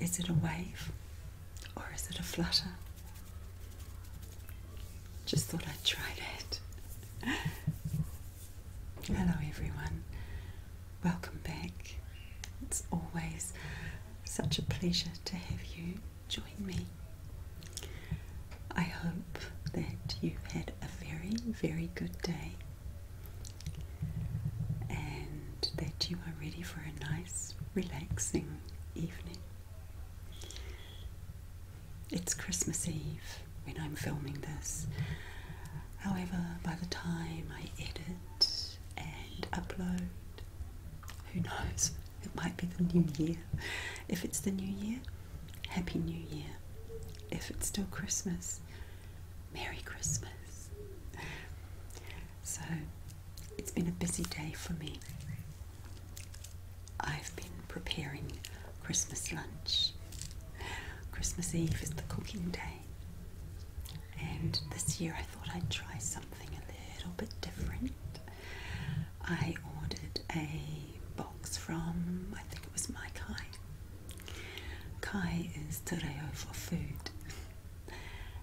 Is it a wave or is it a flutter? Just thought I'd try it. Hello, everyone. Welcome back. It's always such a pleasure to have you join me. I hope that you had a very, very good day and that you are ready for a nice, relaxing evening. It's Christmas Eve when I'm filming this. However, by the time I edit and upload, who knows? It might be the new year. If it's the new year, Happy New Year. If it's still Christmas, Merry Christmas. So, it's been a busy day for me. I've been preparing Christmas lunch. Christmas Eve is the cooking day, and this year I thought I'd try something a little bit different. I ordered a box from, I think it was Maikai, Kai is tereo for food,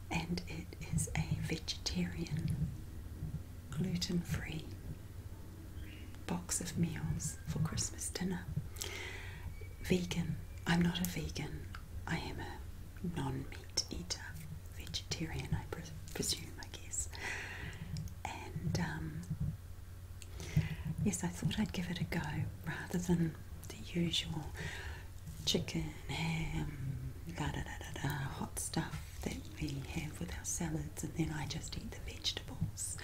and it is a vegetarian, gluten free box of meals for Christmas dinner. Vegan. I'm not a vegan, I am a non meat eater, vegetarian, I presume, I guess. And um, yes, I thought I'd give it a go rather than the usual chicken, ham, da da da da hot stuff that we have with our salads, and then I just eat the vegetables.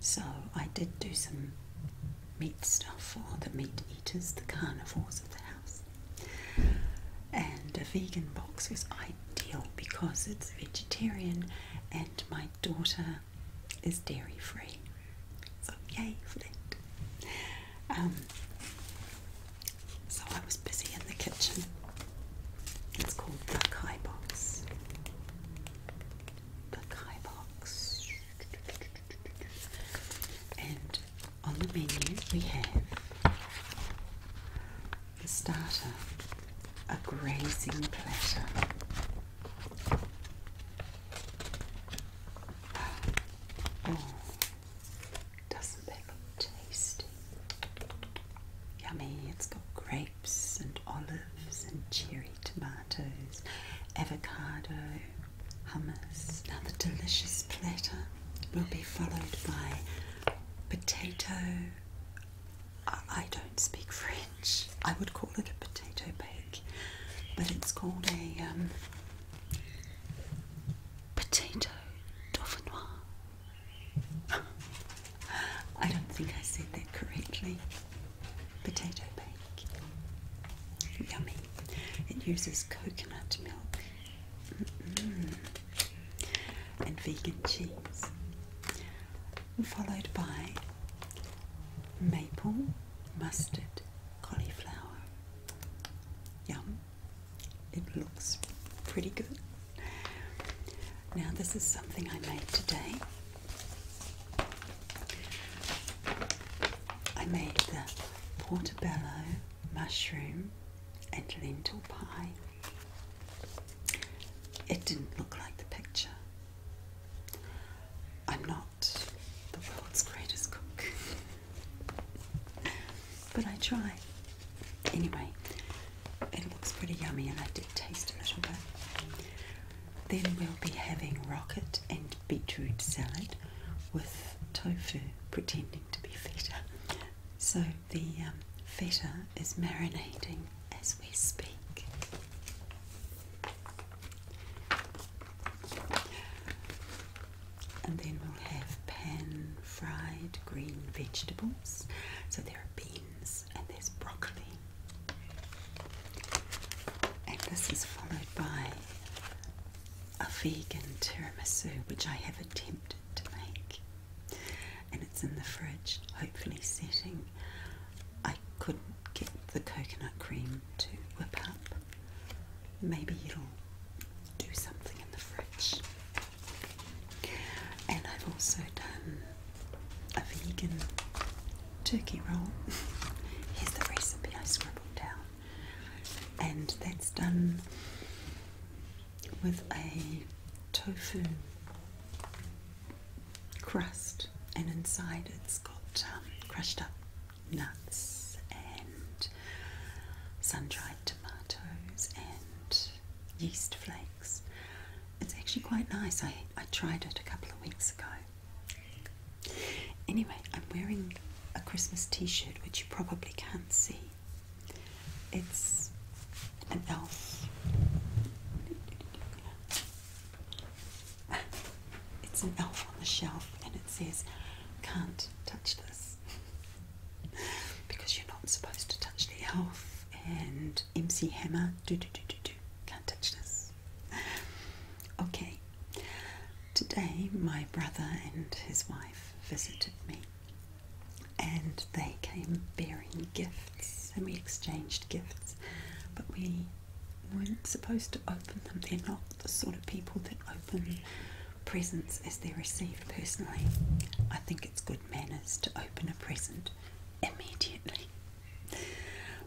So I did do some meat stuff for the meat eaters, the carnivores of the house. And a vegan box was ideal because it's vegetarian, and my daughter uh, is dairy free. So yay for um, so I was busy in the kitchen. It's called the Kai Box. The Kai Box. And on the menu we have the starter, a grazing pleasure. Oh, doesn't that look tasty? Yummy, it's got grapes and olives and cherry tomatoes, avocado, hummus. Now, the delicious platter will be followed by potato. I don't speak French. I would call it a potato bake, but it's called a um, potato dauphinoise. I don't think I said that correctly. Potato bake. Yummy. It uses coconut milk and vegan cheese, followed by maple mustard cauliflower. Yum. It looks pretty good. Now, this is something I made today. I made the portobello mushroom and lentil pie. It didn't look like the picture, I'm not the world's greatest cook, but I try. Anyway, it looks pretty yummy, and I did taste a little bit. Then we'll be having rocket and beetroot salad with tofu pretending to be feta. So the um, feta is marinating as we speak. And then we'll have pan fried green vegetables. So there are beans and there's broccoli. And this is followed by a vegan tiramisu, which I have attempted to make. And it's in the fridge, hopefully setting. I couldn't get the coconut cream to whip up. Maybe it'll do something in the fridge. And I've also done a vegan turkey roll. Here's the recipe I scribbled down. And that's done with a tofu crust, and inside it's got um, crushed up nuts and sun-dried tomatoes and yeast flakes. It's actually quite nice. I, I tried it a couple of weeks ago. Anyway, I'm wearing a Christmas t-shirt which you probably can't see. It's an elf it's an elf on the shelf and it says, can't touch this. because you're not supposed to touch the elf. And MC Hammer, do do do do do, can't touch this. Okay, today my brother and his wife visited me. And they came bearing gifts, and we exchanged gifts, but we weren't supposed to open them. They're not the sort of people that open presents as they're received personally. I think it's good manners to open a present immediately.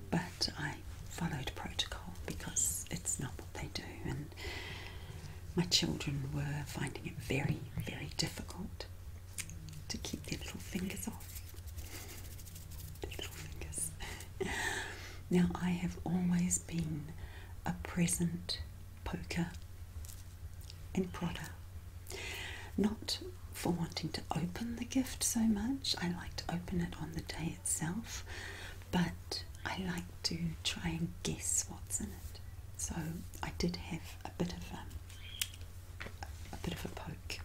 But I followed protocol because it's not what they do, and my children were finding it very, very difficult to keep their little fingers off. now, I have always been a present poker and prodder. Not for wanting to open the gift so much, I like to open it on the day itself, but I like to try and guess what's in it. So I did have a bit of a, a bit of a poke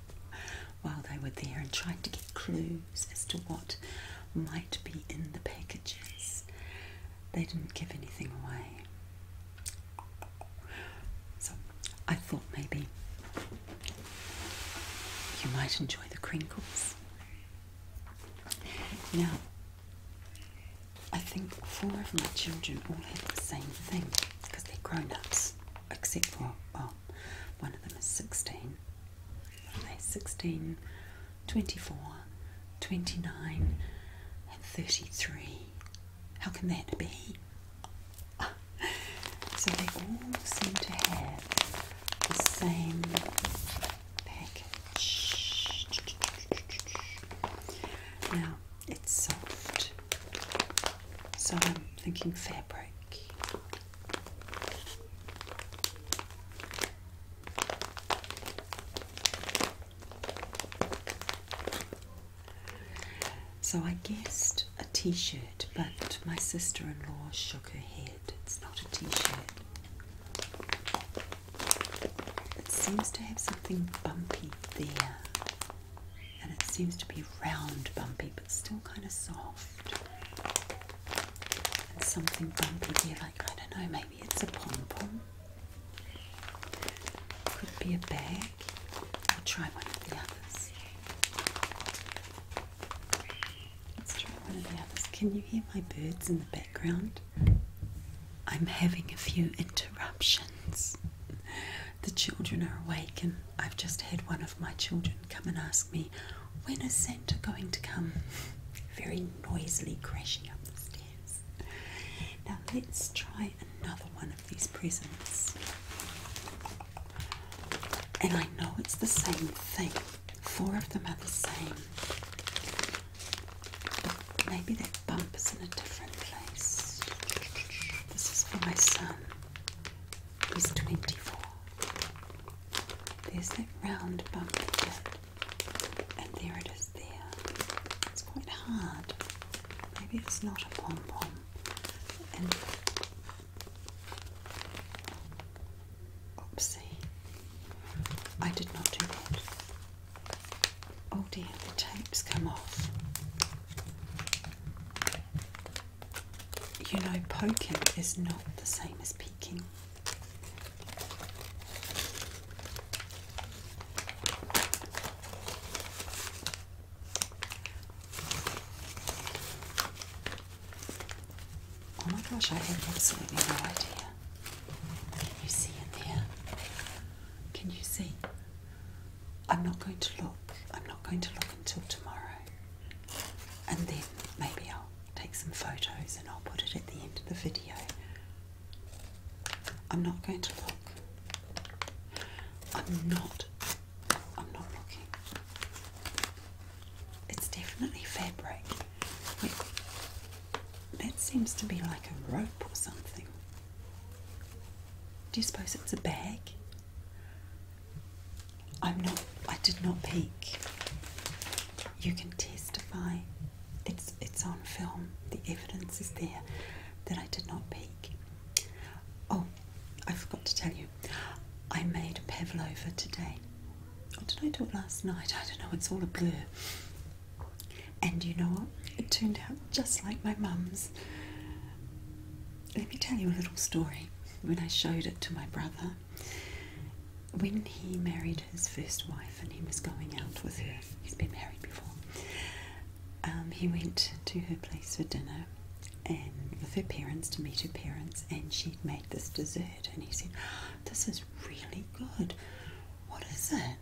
while they were there and tried to get clues as to what might be in the packages. They didn't give anything away. So I thought maybe you might enjoy the crinkles. Now, I think four of my children all had the same thing because they're grown ups, except for, well, one of them is 16. What are they? 24, 29, and 33. How can that be? So they all seem to have the same package. Now it's soft, so I'm thinking fabric. So I guessed a t shirt, but my sister in law shook her head. It's not a t shirt. It seems to have something bumpy there, and it seems to be round, bumpy it's still kind of soft. And something bumpy here, like I don't know, maybe it's a pom pom. Could be a bag. I'll try one of the others. Let's try one of the others. Can you hear my birds in the background? I'm having a few interruptions. The children are awake and I've just had one of my children come and ask me, When is Santa going to come? Very noisily crashing up the stairs. Now let's try another one of these presents. And I know it's the same thing. Four of them are the same. But maybe that bump is in a different place. This is for my son is 24. There's that round bump bit, and there it is there. It's quite hard. Maybe it's not a pom pom. oopsie, I did not do that. Oh dear, the tape's come off you know, poking is not the same as peeking. Oh my gosh, I have absolutely no idea. Can you see in there? Can you see? I'm not going to look. I'm not going to look until tomorrow and then maybe I'll take some photos and I'll put it at the end of the video. I'm not going to look. I'm not I'm not looking. It's definitely fabric. Wait, that seems to be like a rope or something. Do you suppose it's a bag? I'm not, I did not peek. You can testify. It's, it's on film. The evidence is there that I did not peek. Oh, I forgot to tell you. I made a pavlova today. Or did I do it last night? I don't know. It's all a blur. And you know what? It turned out just like my mum's. Let me tell you a little story. When I showed it to my brother, when he married his first wife and he was going out with her, he has been married before, um, he went to her place for dinner and with her parents to meet her parents and she'd made this dessert and he said, This is really good. What is it?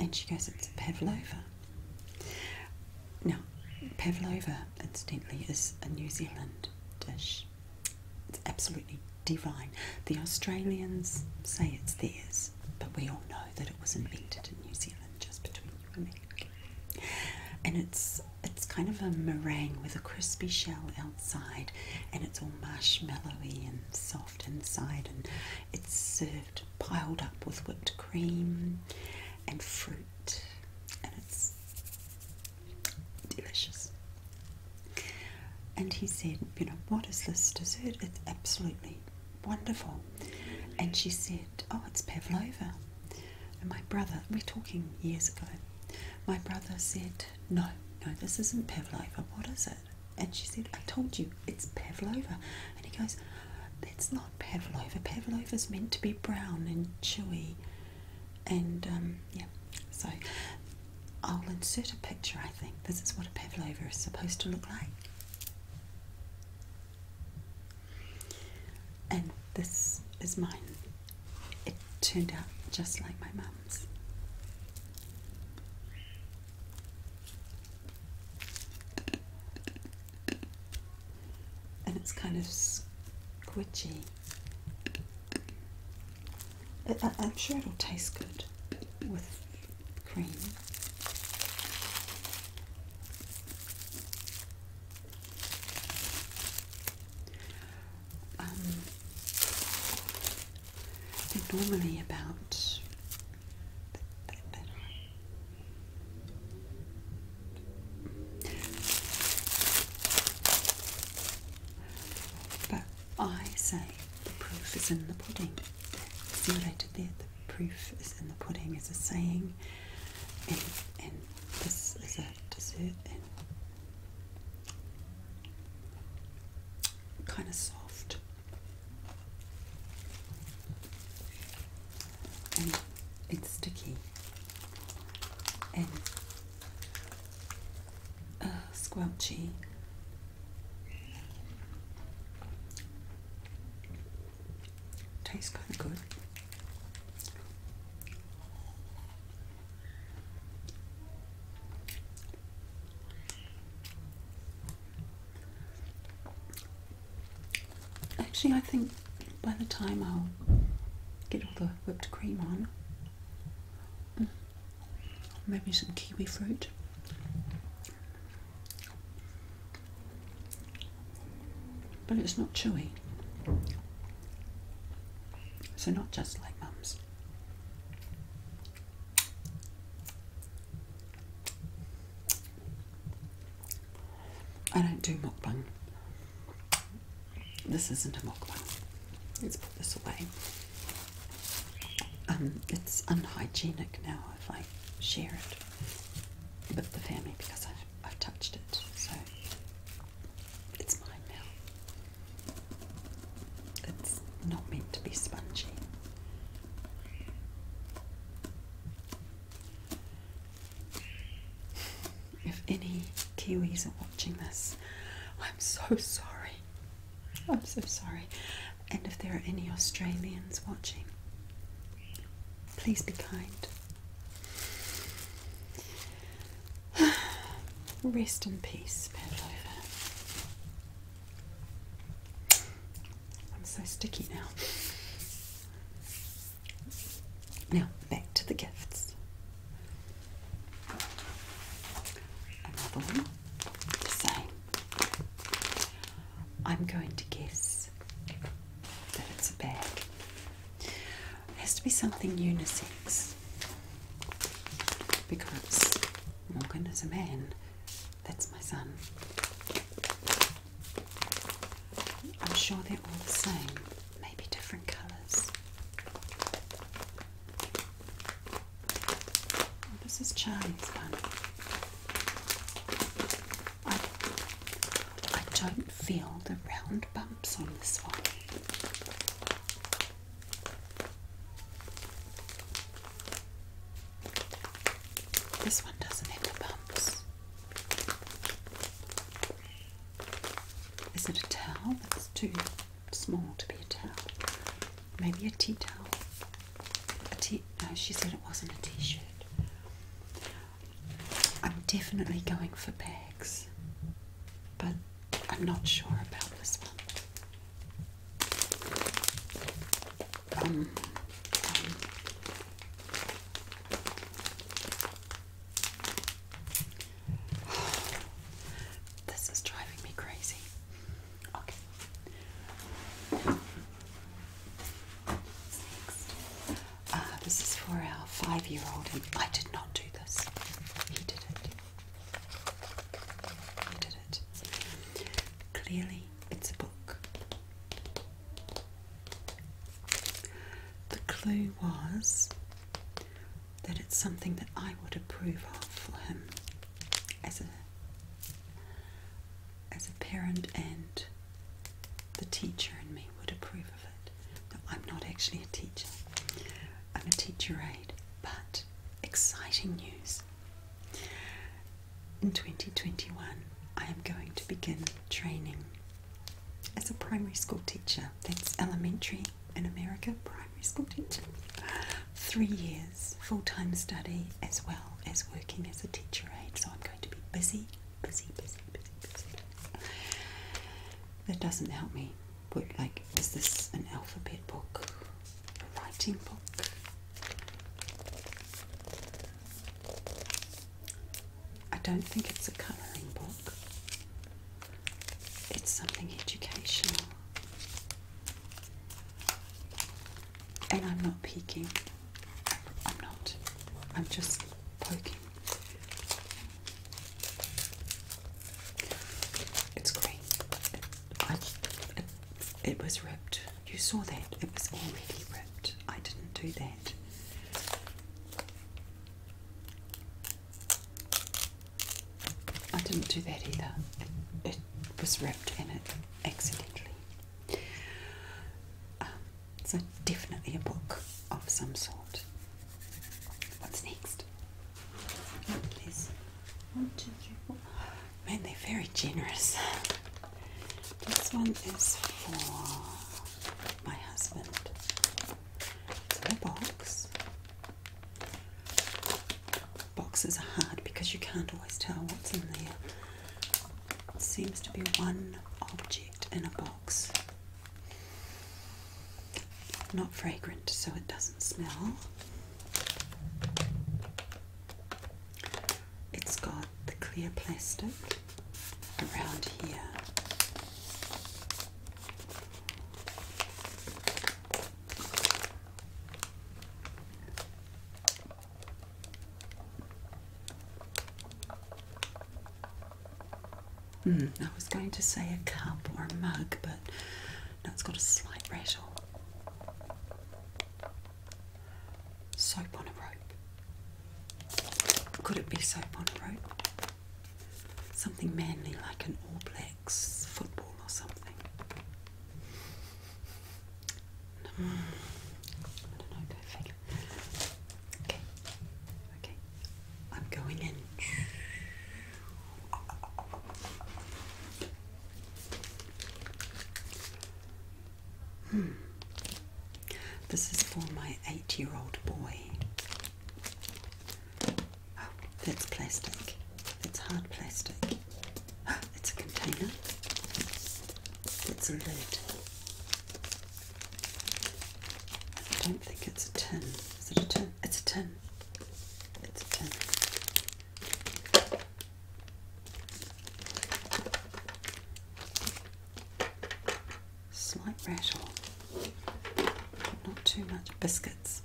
And she goes, It's pavlova. Now, pavlova incidentally, is a New Zealand dish. It's absolutely divine. The Australians say it's theirs, but we all know that it was invented in New Zealand, just between you and me. And it's it's kind of a meringue with a crispy shell outside, and it's all marshmallowy and soft inside, and it's served piled up with whipped cream and fruit and it's delicious. And he said, You know, what is this dessert? It's absolutely wonderful. And she said, Oh, it's pavlova. And my brother, we're talking years ago, my brother said, No, no, this isn't pavlova. What is it? And she said, I told you, it's pavlova. And he goes, That's not." pavlova. Pavlova is meant to be brown and chewy, and um, yeah. So I'll insert a picture. I think this is what a pavlova is supposed to look like. And this is mine. It turned out just like my mum's and it's kind of squishy. I, am sure it'll taste good with cream. Um, normally about but I say the proof is in the pudding. Simulated there, the proof is in the pudding is a saying, and, this is a dessert kind of soft. And it's sticky and uh, squelchy. Tastes kind of good. Actually, I think by the time I'll get all the whipped cream on, mm, maybe some kiwi fruit. But it's not chewy, so not just like mum's. I don't do mukbang. This isn't a mukbang. Let's put this away. Um, it's unhygienic now if I share it with the family because I've, I've touched it. So it's mine now. It's not meant to be spongy. If any Kiwis are watching this, I'm so sorry. I'm so sorry. And if there are any Australians watching, please be kind. Rest in peace, Pavlova. I'm so sticky now. Now, back to the gifts. Another one, the same. I'm going to guess that it's a bag. has to be something unisex because Morgan is a man. That's my son. I'm sure they're all the same, maybe different colours. Oh, this is Charlie's one. I, I don't feel the round bumps on this one. This one doesn't have the bumps. Is it a towel? That's too small to be a towel. Maybe a tea towel. A tea no, she said it wasn't a t-shirt. I'm definitely going for bags, but I'm not sure about this one. Um, um, This is driving me crazy. Okay. Next. Uh, this is for our five year old, and I did not do this. He did it. He did it. Clearly, it's a book. The clue was that it's something that I would approve of for him as a as a parent and the teacher and me would approve of it. I'm not actually a teacher. I'm a teacher aide, but exciting news. In 2021, I am going to begin training as a primary school teacher. That's elementary in America, primary school teacher. Three years full time study as well as working as a teacher aide. So I'm going to be busy, busy, busy, busy, busy. That doesn't help me. Work like, is this an alphabet book? A writing book? I don't think it's a colouring book, it's something educational. And I'm not peeking, I'm not, I'm just poking. It's green. It, it was ripped. You saw that. It was already ripped. I didn't do that. I didn't do that either. It, was wrapped in it accidentally. Um, so definitely a book of some sort. What's next? one, two, three, four. Man, they're very generous. This one is four my husband. It's in a box. Boxes are hard because you can't always tell what's in there. It seems to be one object in a box. Not fragrant, so it doesn't smell. It's got the clear plastic around here. Mm, I was going to say a cup or a mug, but no, it's got a slight rattle. Soap on a rope. Could it be soap on a rope? Something manly like an All Blacks football or something. Hmm. I don't know, Okay, okay. I'm going in. Hmm. This is for my eight year old boy. Oh, that's plastic. That's hard plastic. it's a container. It's a lid. I don't think it's a tin. Is it a tin? It's a tin. It's a tin slight rattle, not too much. Biscuits,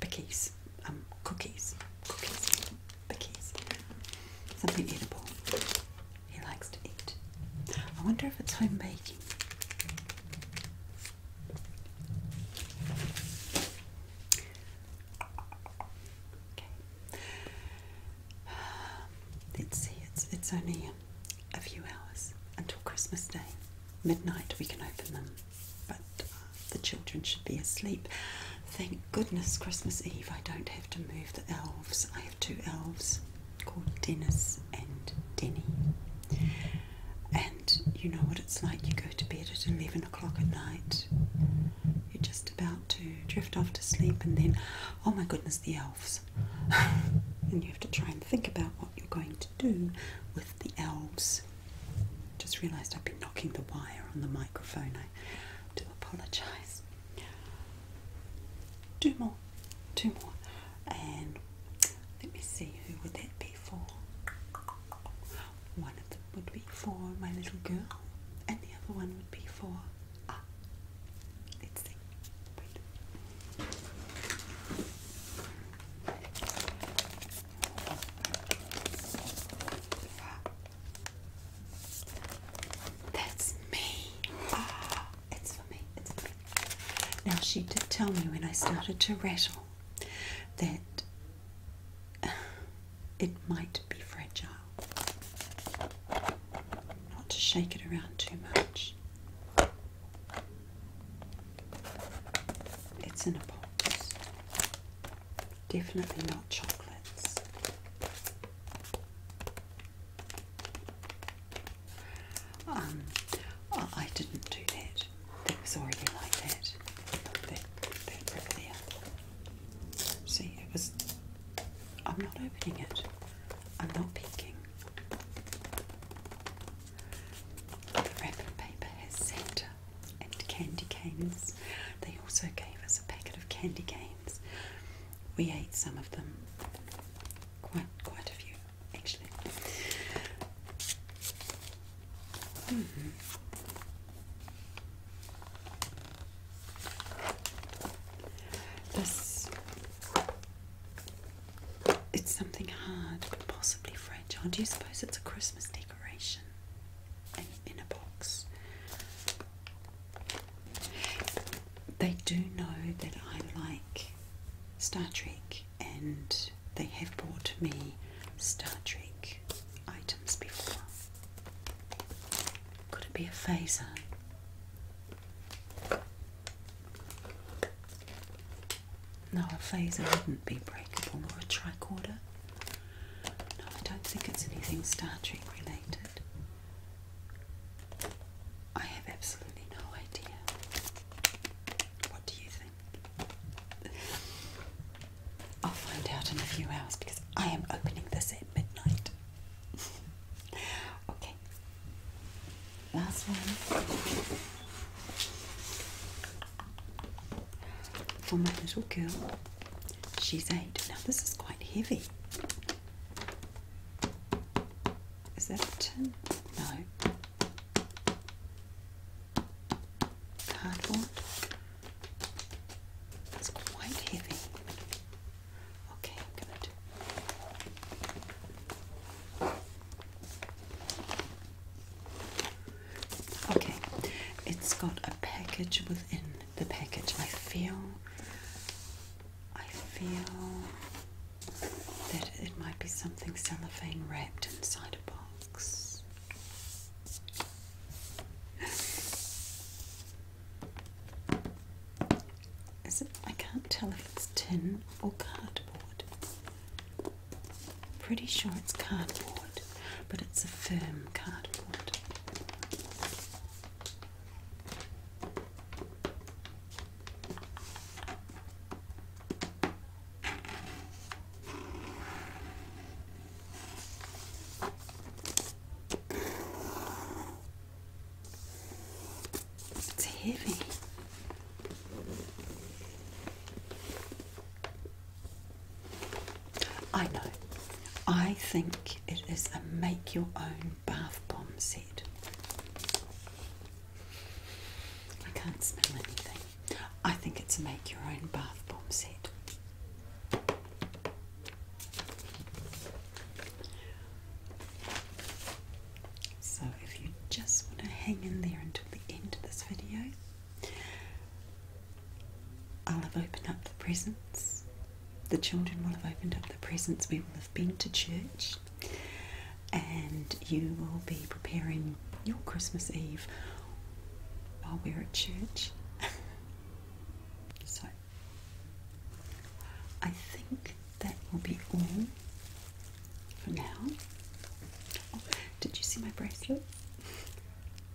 bickies, um, cookies, cookies, bickies, something edible. He likes to eat. I wonder if it's home baking. Okay. Let's see, it's, it's only a few hours until Christmas Day. Midnight we can open them, but uh, the children should be asleep. Thank goodness Christmas Eve I don't have to move the elves. I have two elves called Dennis and Denny. And you know what it's like, you go to bed at 11 o'clock at night. You're just about to drift off to sleep, and then, oh my goodness, the elves. and you have to try and think about what you're going to do with the elves. Just realised I've been knocking the wire on the microphone. I do apologise. Two more, two more, and let me see who would that be for. One of them would be for my little girl, and the other one would be for Ah, let's see. Wait. That's me. Ah, it's for me. It's for me. Now she did tell me when I started to rattle that it might be fragile. Not to shake it around too much. It's in a box. Definitely not chocolates. Um, oh, I, didn't do that. It was already like that. See, it was I'm not opening it. I'm not peeking. The wrapping paper has Santa and candy canes. They also gave us a packet of candy canes. We ate some of them. Quite quite a few, actually. -hmm. This it's something hard, but possibly fragile. Do you suppose it's a Christmas decoration in a box? They do know that I like Star Trek, and they have bought me Star Trek items before. Could it be a phaser? No, a phaser wouldn't be breakable or a tricorder. No, I don't think it's anything Star Trek related. I have absolutely no idea. What do you think? I'll find out in a few hours because I am opening this at midnight. okay, Last one. For oh, my little girl. She's eight. Now this is quite heavy. Is that a tin? No. Cardboard. It's quite heavy. Okay, good. Okay, it's got a package within the package. I feel, I feel that it might be something cellophane wrapped inside a box. Is it? I can't tell if it's tin or cardboard. Pretty sure it's cardboard, but it's a firm cardboard. It's heavy. I know. I think it is a make your own bath bomb set. I can't smell anything. I think it's a make your own bath bomb set. So if you just want to hang in there until the end of this video, I'll have opened up the presents. The children will have opened up the presents. We will have been to church and you will be preparing your Christmas Eve while we're at church. so I think that will be all for now. Oh, did you see my bracelet?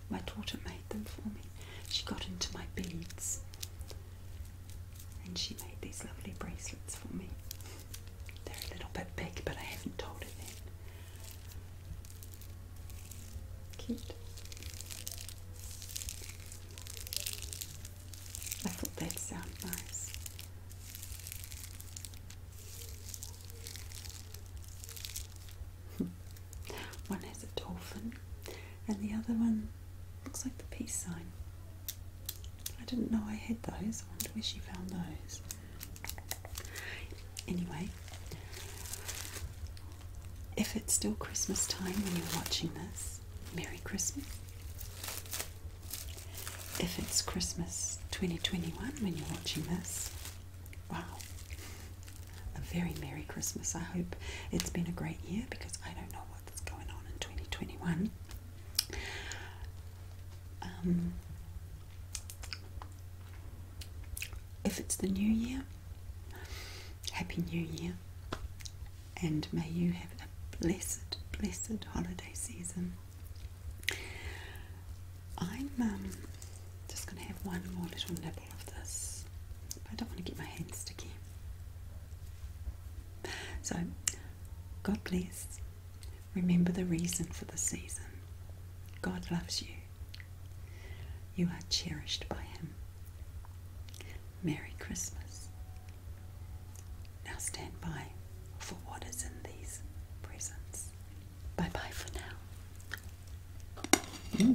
My daughter made them for me. She got into my beads and she made these lovely bracelets for me. They're a little bit big, but I haven't told her that. Cute. I thought they'd sound nice. one has a dolphin, and the other one looks like the peace sign. I didn't know I had those. I wonder where she found those. Anyway, if it's still Christmas time when you're watching this, Merry Christmas. If it's Christmas 2021 when you're watching this, wow, a very Merry Christmas. I hope it's been a great year because I don't know what's going on in 2021. Um, if it's the new year, Happy New Year and may you have a blessed, blessed holiday season. I'm um, just going to have one more little nibble of this. I don't want to get my hands sticky. So, God bless. Remember the reason for the season. God loves you. You are cherished by Him. Merry Christmas. Now stand by for what is in these presents. Bye bye for now. Hmm.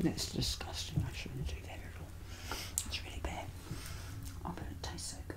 That's disgusting. I shouldn't do that at all. It's really bad. Oh, I don't taste so good.